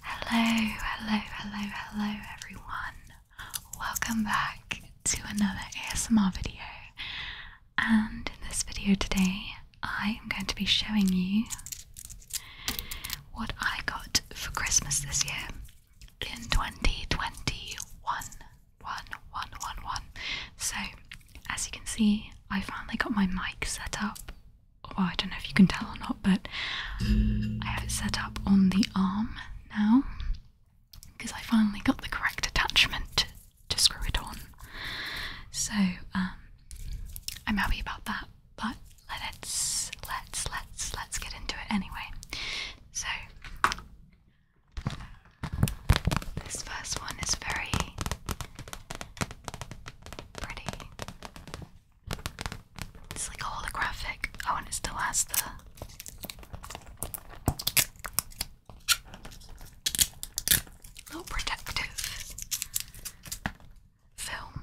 Hello, hello, hello, hello, everyone. Welcome back to another ASMR video. And in this video today, I am going to be showing you what I got for Christmas this year in 2021. One, one, one, one. So, as you can see, I finally got my mic set up well, I don't know if you can tell or not, but I have it set up on the arm now because I finally got the correct attachment to screw it on. So um, I'm happy about that. But let's let's let's let's get into it anyway. So this first one is very it's like a holographic. Oh, and it still has the. Little protective film.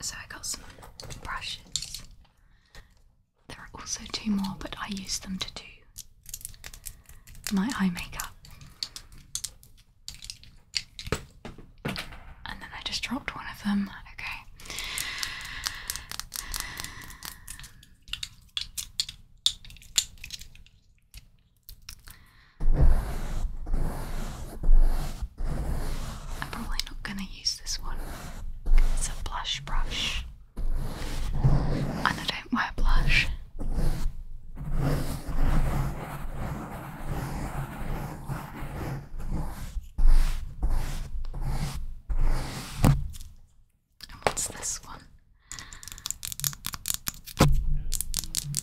So I got some brushes. There are also two more, but I use them to do my eye makeup. And then I just dropped one of them. Okay. I'm probably not going to use this one. It's a blush brush. And I don't wear blush. And what's this one?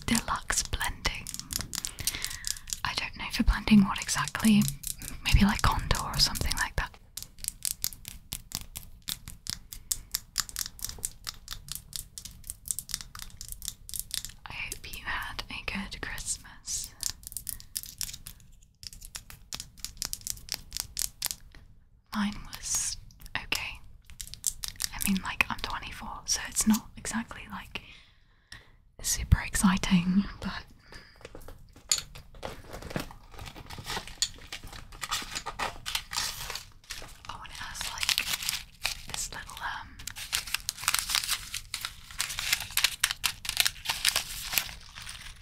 Deluxe blending. I don't know for blending what exactly, maybe like contour or something like that. I hope you had a good Christmas. Mine was okay. I mean, like, I'm 24, so it's not exactly like super exciting, but oh, and it has like this little um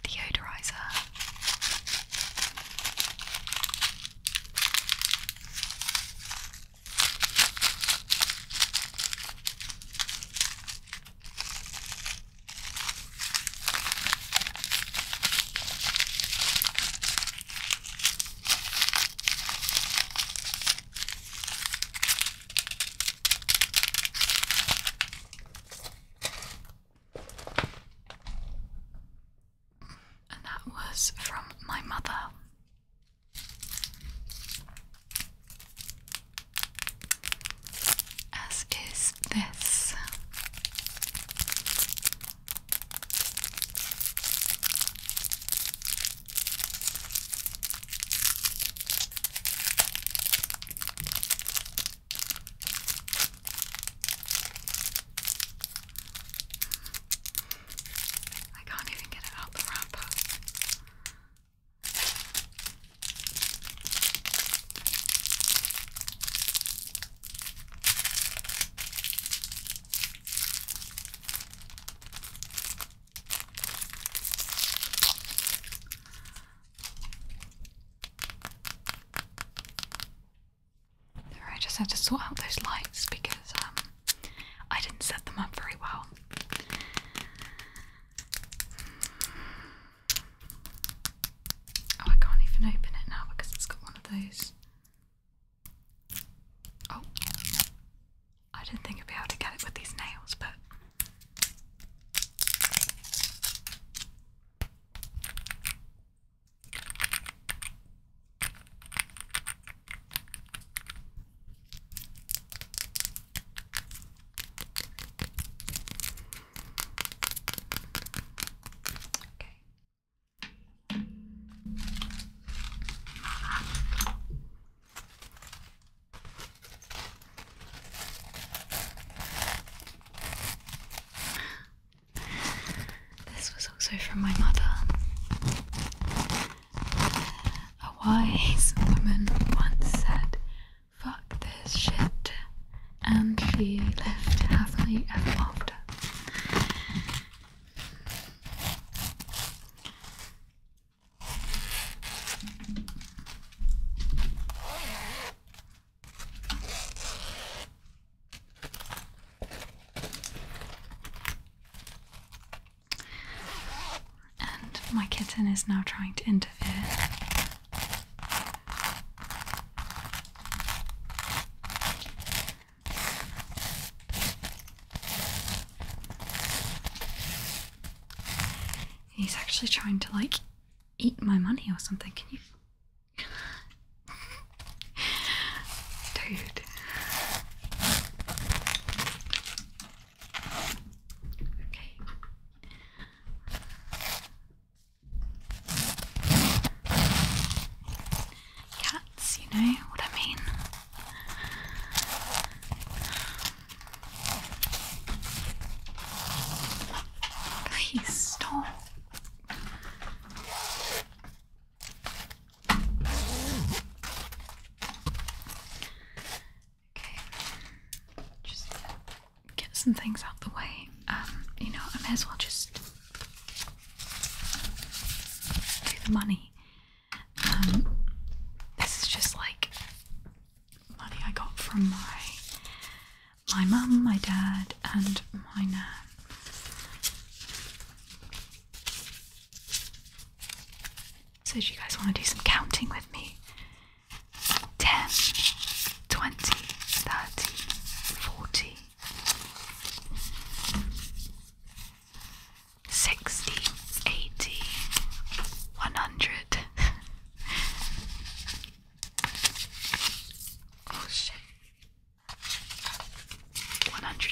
deodorizer. And that was from my mother as is this. I can't even get it out the wrapper. I just had to sort out those lights because um, I didn't set them up very well. Oh, I can't even open it now because it's got one of those. Oh, I didn't think I'd be able to get it with these nails, but. This was also from my mother. A wise woman once said, fuck this shit, and she lived happily ever after. And my kitten is now trying to interfere. He's actually trying to like eat my money or something. Can you? Dude. Cats, you know what I mean. Please stop. Okay, just get some things out the way. Um, you know, I may as well just do the money. Um, this is just like money I got from my my mum, my dad, and my so, do you guys want to do some counting with me? 10, 20, 30, 40, 60, 80, 100. shit. 110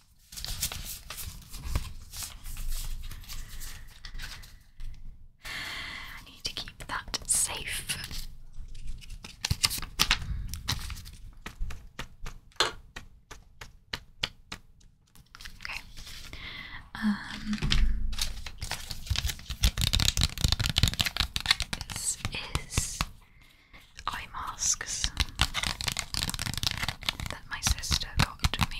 I need to keep that safe. Okay. Um, this is eye masks that my sister got me.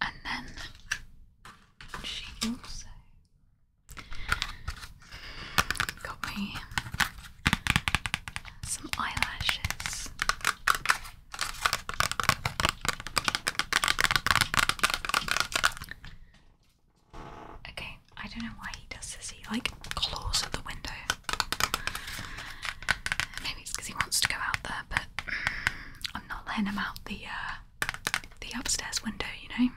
And then she also Got me some eyelashes. Okay, I don't know why he does this. He like claws at the window. Maybe it's because he wants to go out there, but I'm not letting him out the uh, the upstairs window, you know.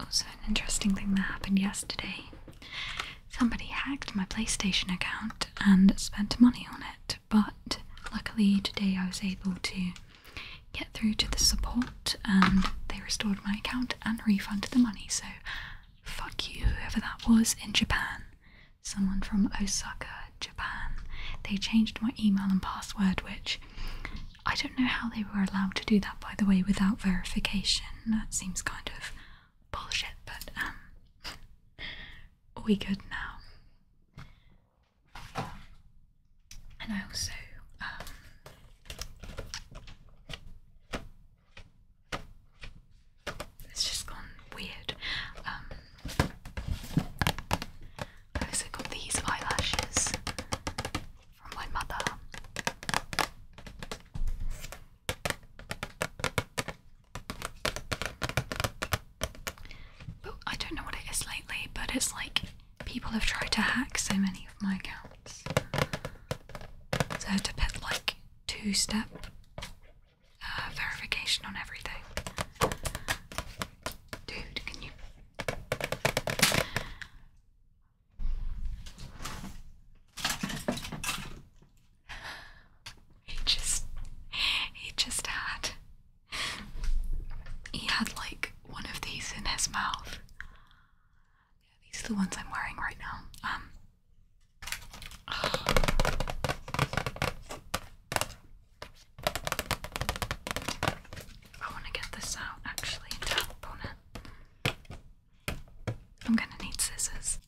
Also, an interesting thing that happened yesterday somebody hacked my PlayStation account and spent money on it, but luckily today I was able to get through to the support and they restored my account and refunded the money. So, fuck you, whoever that was in Japan someone from Osaka, Japan. They changed my email and password, which I don't know how they were allowed to do that, by the way, without verification. That seems kind of bullshit, but um, are we good now? And I also um, it's just gone weird. Um, I also got these eyelashes from my mother. But I don't know what it is lately, but it's like people have tried to hack so many of my accounts. So I had to put like two step uh, verification on everything. Dude, can you? He just, he just had, he had like one of these in his mouth. Yeah, these are the ones I'm wearing right now. Um. I want to get this out actually and tap on I'm going to need scissors.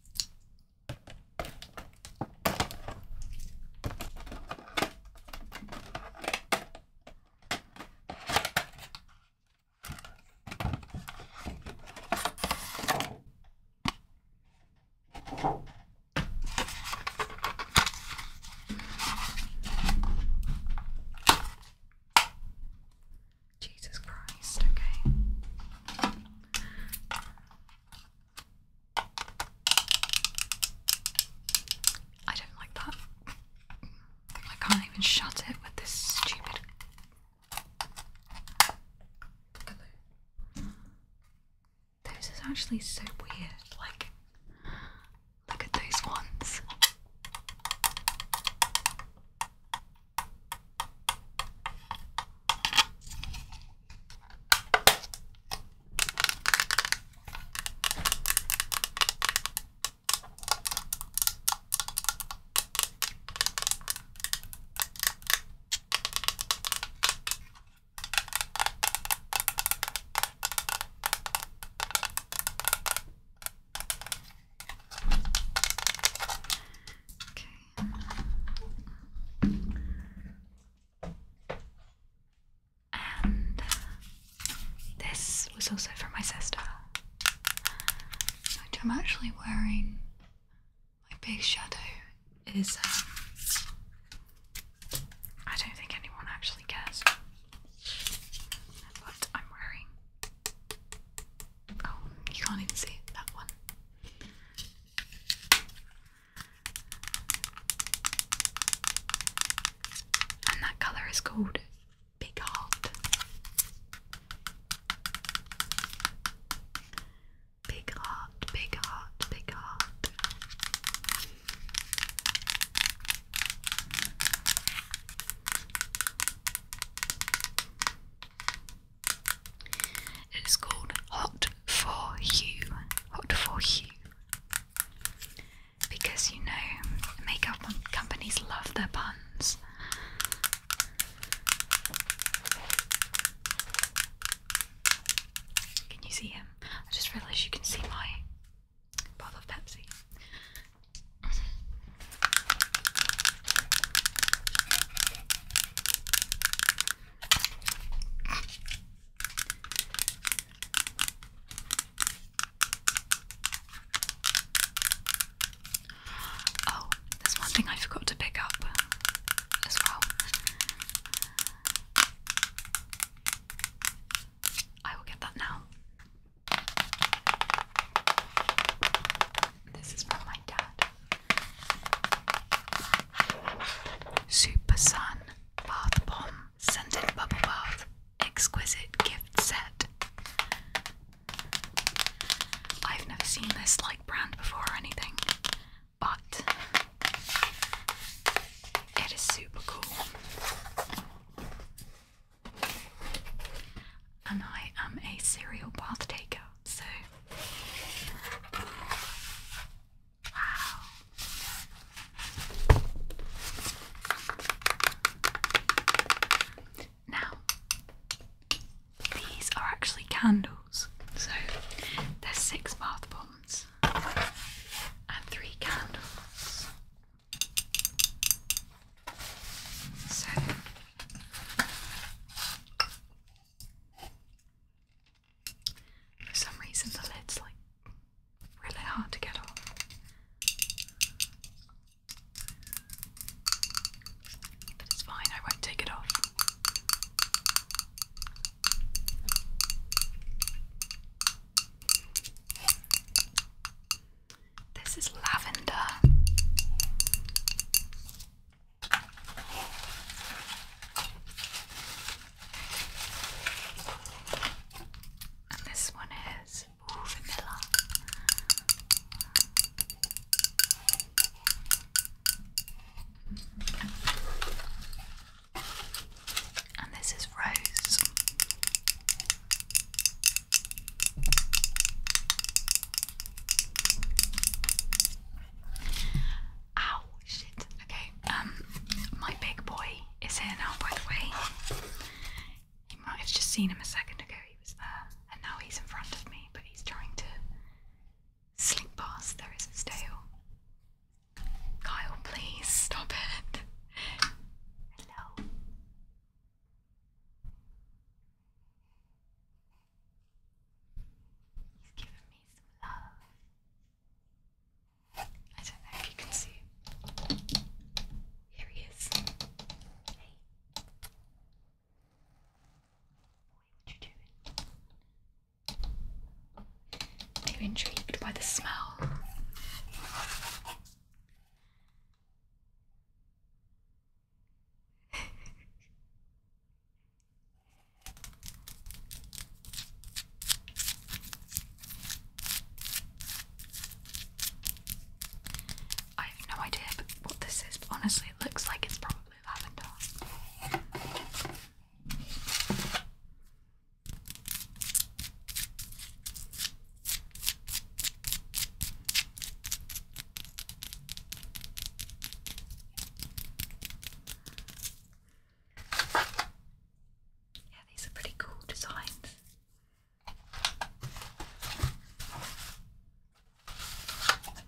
Jesus Christ, okay. I don't like that. I can't even shut it with this stupid. Those are actually so weird. Like, look at those ones. Okay. And this was also for my sister, which I'm actually wearing my big shadow is. Um, I don't think anyone actually cares. What I'm wearing. Oh, you can't even see that one. And that colour is called Big Heart. Big heart, big heart, big heart. It is called Hot for You. Hot for You. Because you know, makeup companies love their puns. Can you see him? I just realised you can see my bottle of Pepsi. Oh, there's one thing I forgot to pick up as well. I will get that now. This is from my dad. Super Sun Bath Bomb Scented Bubble Bath Exquisite Gift Set. I've never seen this like brand before or anything but it is super cool. And I am a cereal bath taker, so wow. Now, these are actually candles, so there's six bath bombs and three candles. So for some reason the lid's like really hard to get off. But it's fine, I won't take it off. This is lavender. And this one is vanilla. And this is Rose. Ow, shit. Okay, um, my big boy is here now, by the way. You might have just seen him a second ago, he was there, and now he's in front of me, but he's trying to Slink past, there is a tail. Kyle, please stop it. Hello. He's given me some love. I don't know if you can see. Here he is. Hey. Boy, what you doing? They were intrigued by the smell. I have no idea what this is, honestly, it looks like it's probably lavender. Yeah, these are pretty cool designs.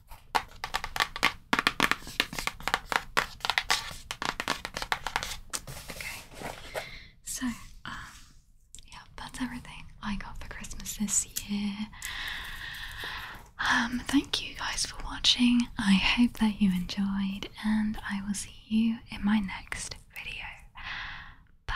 Okay, so, um, yeah, that's everything I got for Christmas this year. Um, thank you guys for watching. I hope that you enjoyed, and I will see you in my next video. Bye.